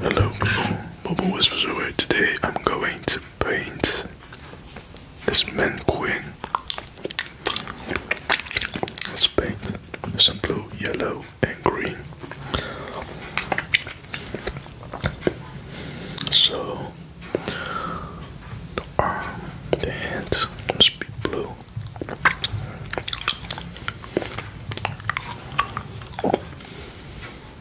Hello people, Bubble Whispers away. Today I'm going to paint this man queen. Let's paint some blue, yellow and green. So the arm, the hand must be blue.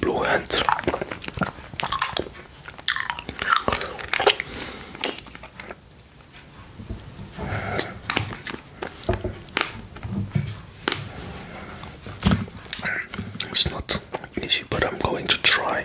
Blue hands. It's not easy, but I'm going to try.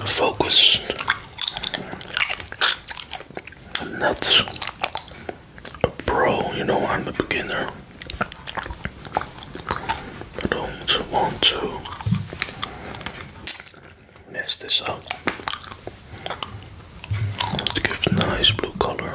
The focus nuts. Bro, you know, I'm a beginner. I don't want to mess this up. To give nice blue color.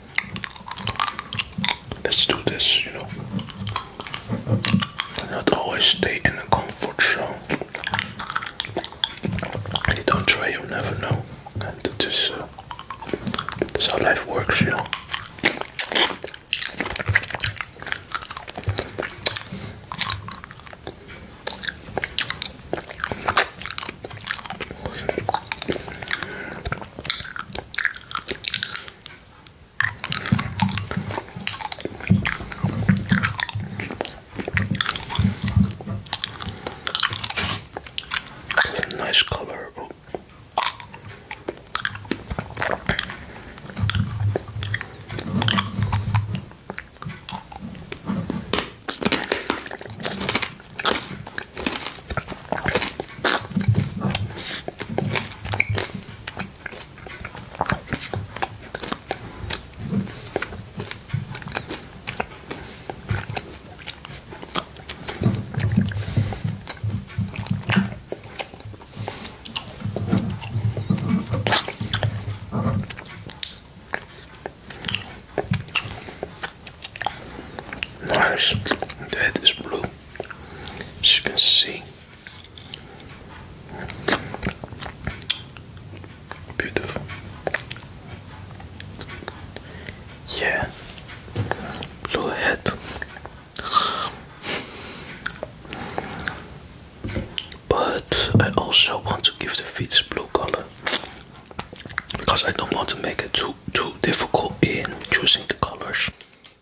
Let's do this, you know. Not always stay in a comfort zone. you don't try, you'll never know. And that uh, is, uh, that's how life works, you know nice color. Nice, that is blue as you can see. Beautiful. Yeah. Blue head. But I also want to give the feet blue color because I don't want to make it too too difficult in choosing the colors.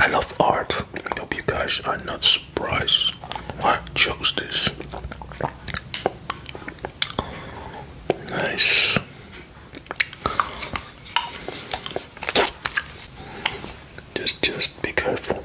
I love art. I hope you guys are not surprised why I chose this. Nice. Just just be careful.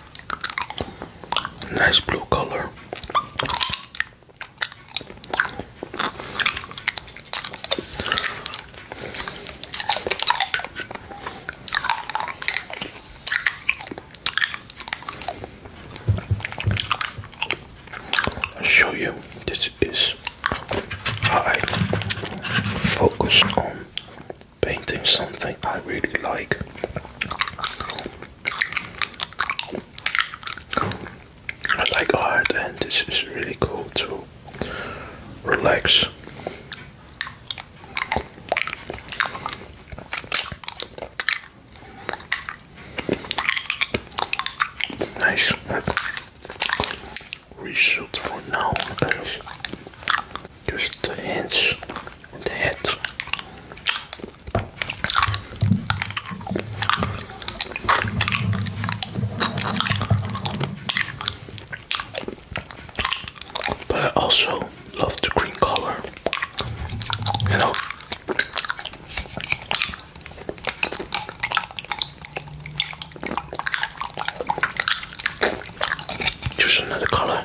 Nice blue color. I'll show you this is how I focus on painting something I really like. I like art, and this is really cool to relax. Nice. Result for now, Just the hands and the head. But I also love the green color, you know. Just another color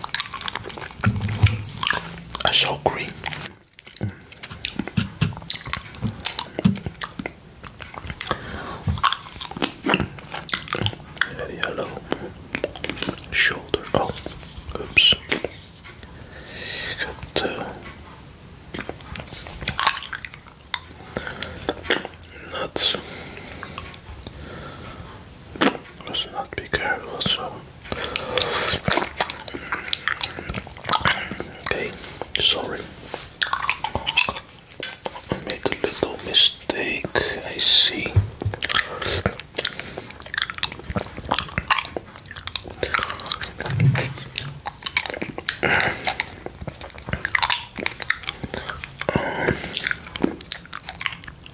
a short green. Mm. Shoulder. Oh, oops. Uh, nuts. let not be careful, so Okay, sorry. I made a little mistake, I see.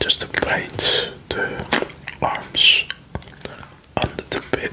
Just the plates, the arms under the bed.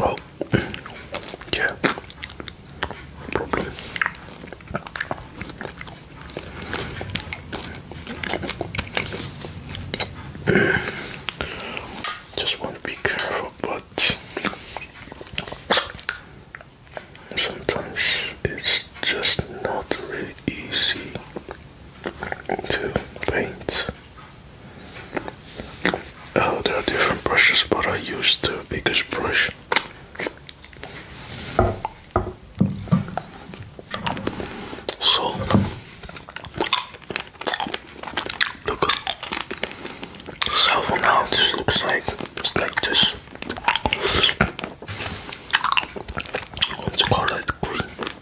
Oh, yeah. Just want to be careful, but sometimes it's just not really easy to paint. Oh, there are different brushes, but I use the biggest brush. So, look, so for now this looks like like this. Let's call green.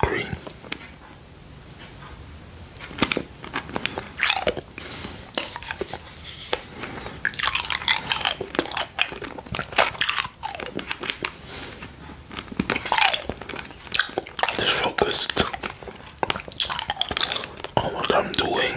green. Just focused on what I'm doing.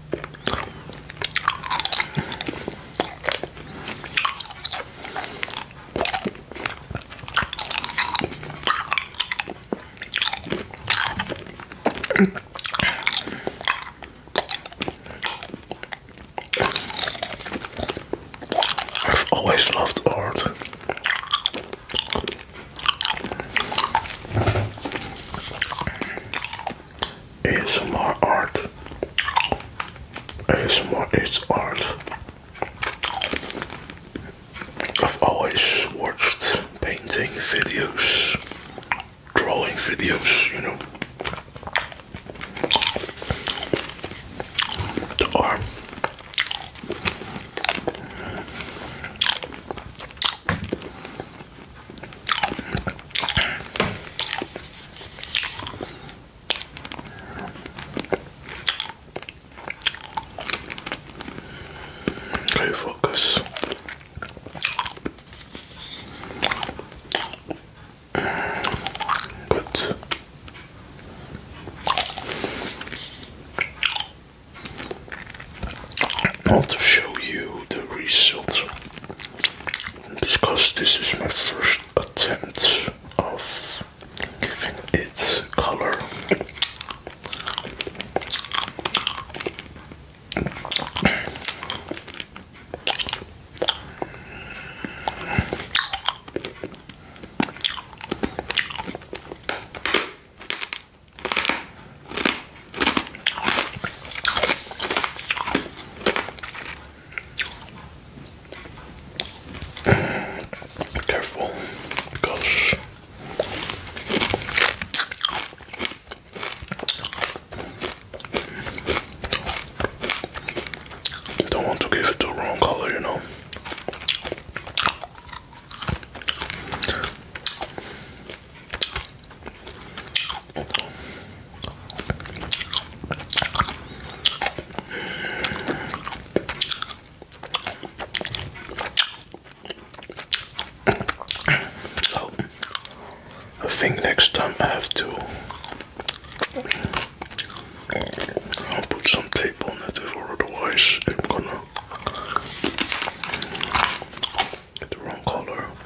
I've always loved art. ASMR art. ASMR is art. I've always watched painting videos, drawing videos, you know. The Okay, focus. Good. i to show you the result because this is my first attempt of giving it color. Careful, because you don't want to give it the wrong color, you know. So, I think next time I have to put some tape on it, or otherwise I'm gonna get the wrong color.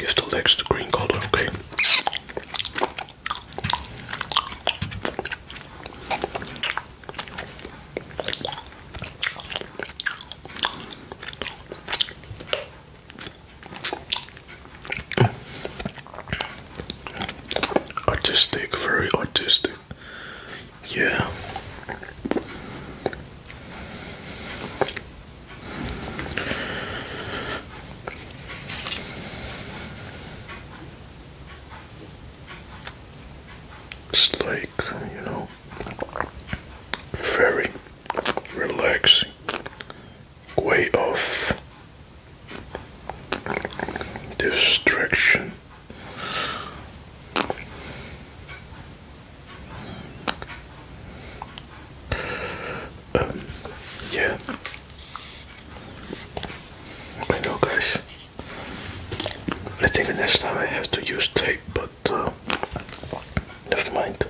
You still like the green color, okay? Artistic, very artistic. Yeah. It's like, you know, very relaxing way of distraction um, yeah. Hello guys. I think the next time I have to use tape, but uh, never mind.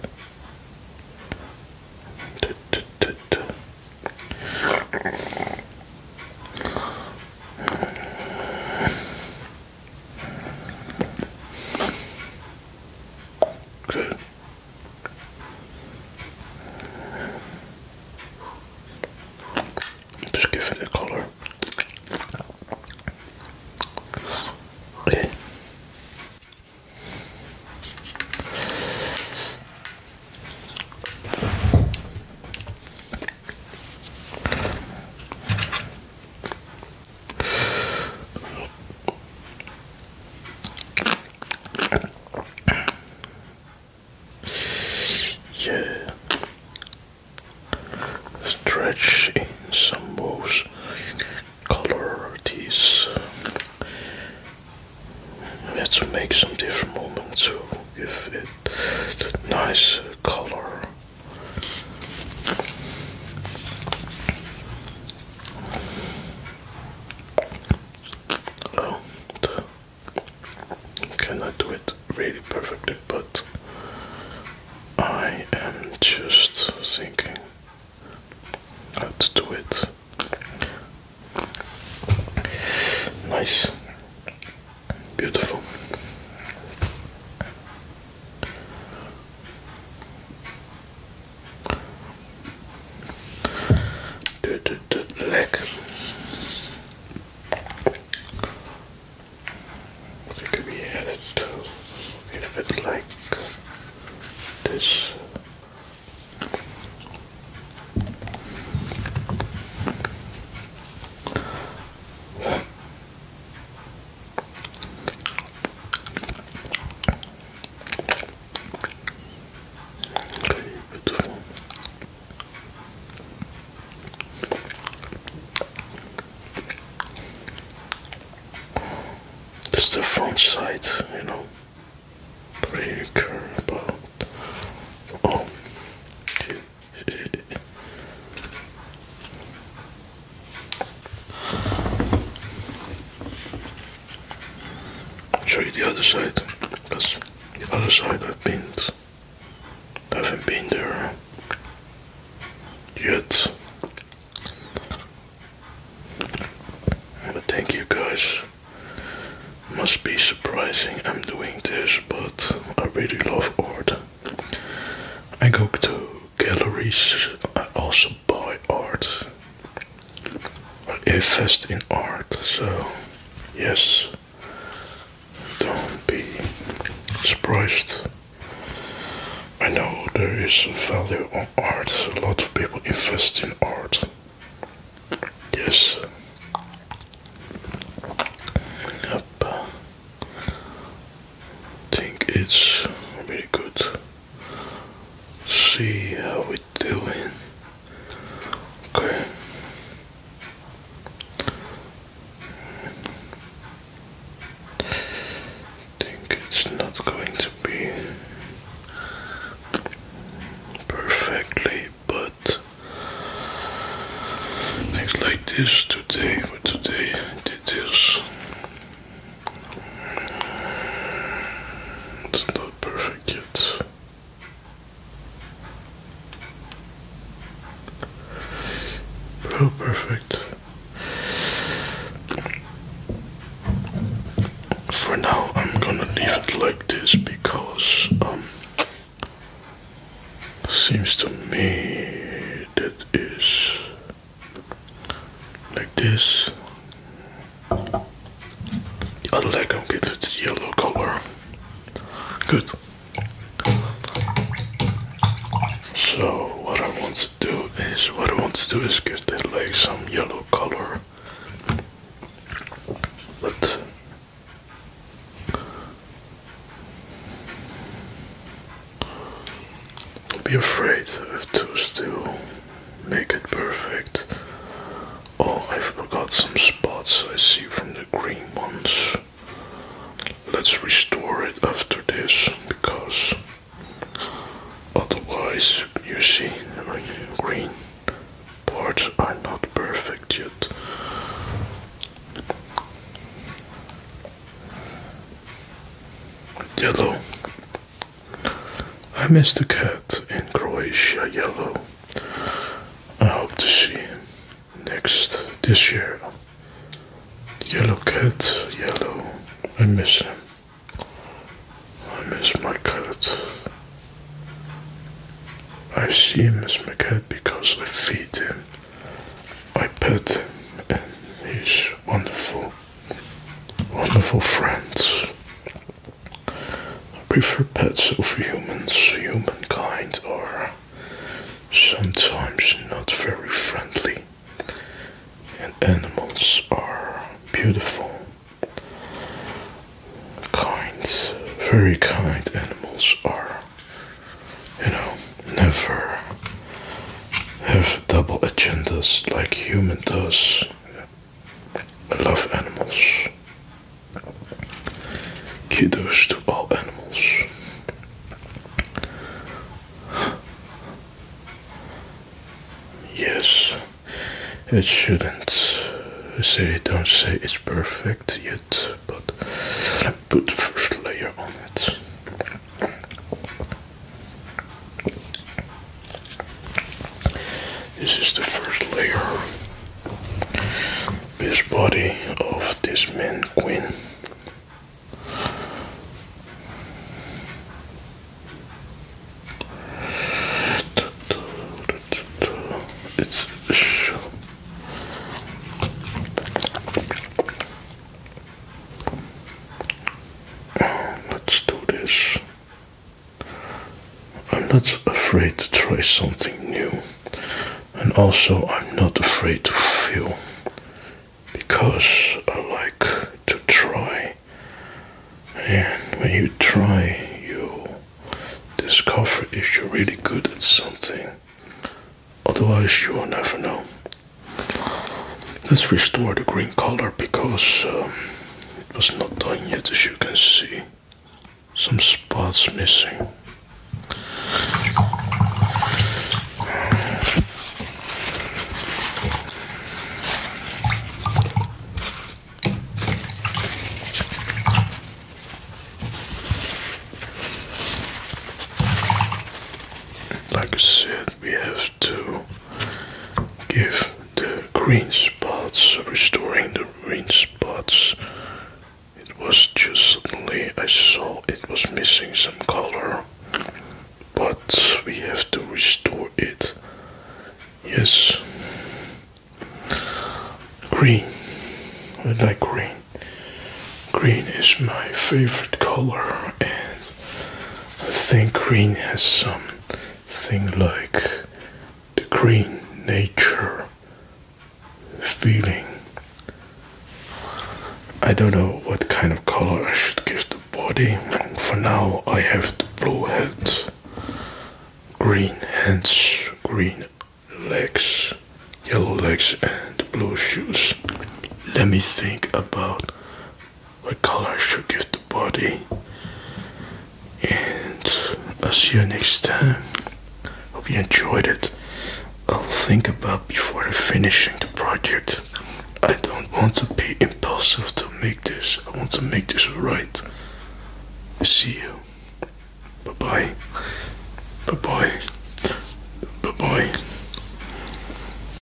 Good. Just give it a color. Okay. Yeah, stretch in some most color these. Let's make some different moments to give it that nice color. Oh, cannot do it really perfectly, but I am just thinking how to do it. Nice, beautiful. Do do do leg. It could be added to if it's like this. This is the front side, you know. Really care about. Oh. Um, I'll show you the other side, because the other side I've been, I haven't been there yet. But thank you guys. Must be surprising I'm doing this, but I really love art. I go to galleries. I also buy art. I invest in art. So, yes, don't be surprised. I know there is value on art. A lot of people invest in art. Yes. Yep think it's really good. See how we are doing. Okay. Think it's not going to be perfectly, but things like this today. today did this. It's not perfect yet. Oh, perfect. For now, I'm gonna leave it like this because um seems to me that is like this. I like them get its yellow color. Good. So what I want to do is what I want to do is give the like some yellow color. But don't be afraid to still make it perfect. Oh, I forgot some spots I see from the green ones. Let's restore it after this because otherwise, you see, the green parts are not perfect yet. Yellow. I miss the cat in Croatia yellow. I hope to see him next this year. Yellow cat, yellow. I miss him. I miss my cat. I see him as my cat because I feed him. I pet him and he's wonderful. Wonderful friends. I prefer pets over humans. Humankind are sometimes not very friendly, and animals are beautiful, kind, very kind animals are, you know, never have double agendas like human does. I love animals. Kiddos to all animals. Yes, it shouldn't. Say don't say it's perfect yet, but put the first layer on it. This is the first layer. This body of this man Quinn. It's Let's do this. I'm not afraid to try something new, and also I'm not afraid to feel, because I like to try. And when you try, you discover if you're really good at something, otherwise, you will never know. Let's restore the green color because um, it was not done yet as you can see. Some spots missing. Like I said, we have to give the green spots, restoring the green spots. It was just suddenly I saw it was missing some color, but we have to restore it. Yes, green. I like green. Green is my favorite color I think green has something like the green nature feeling. I don't know what kind of color I should give the body. For now, I have the blue head, green hands, green legs, yellow legs, and blue shoes. Let me think about what color should give the body and I'll see you next time hope you enjoyed it I'll think about before finishing the project I don't want to be impulsive to make this I want to make this right see you bye bye bye bye bye bye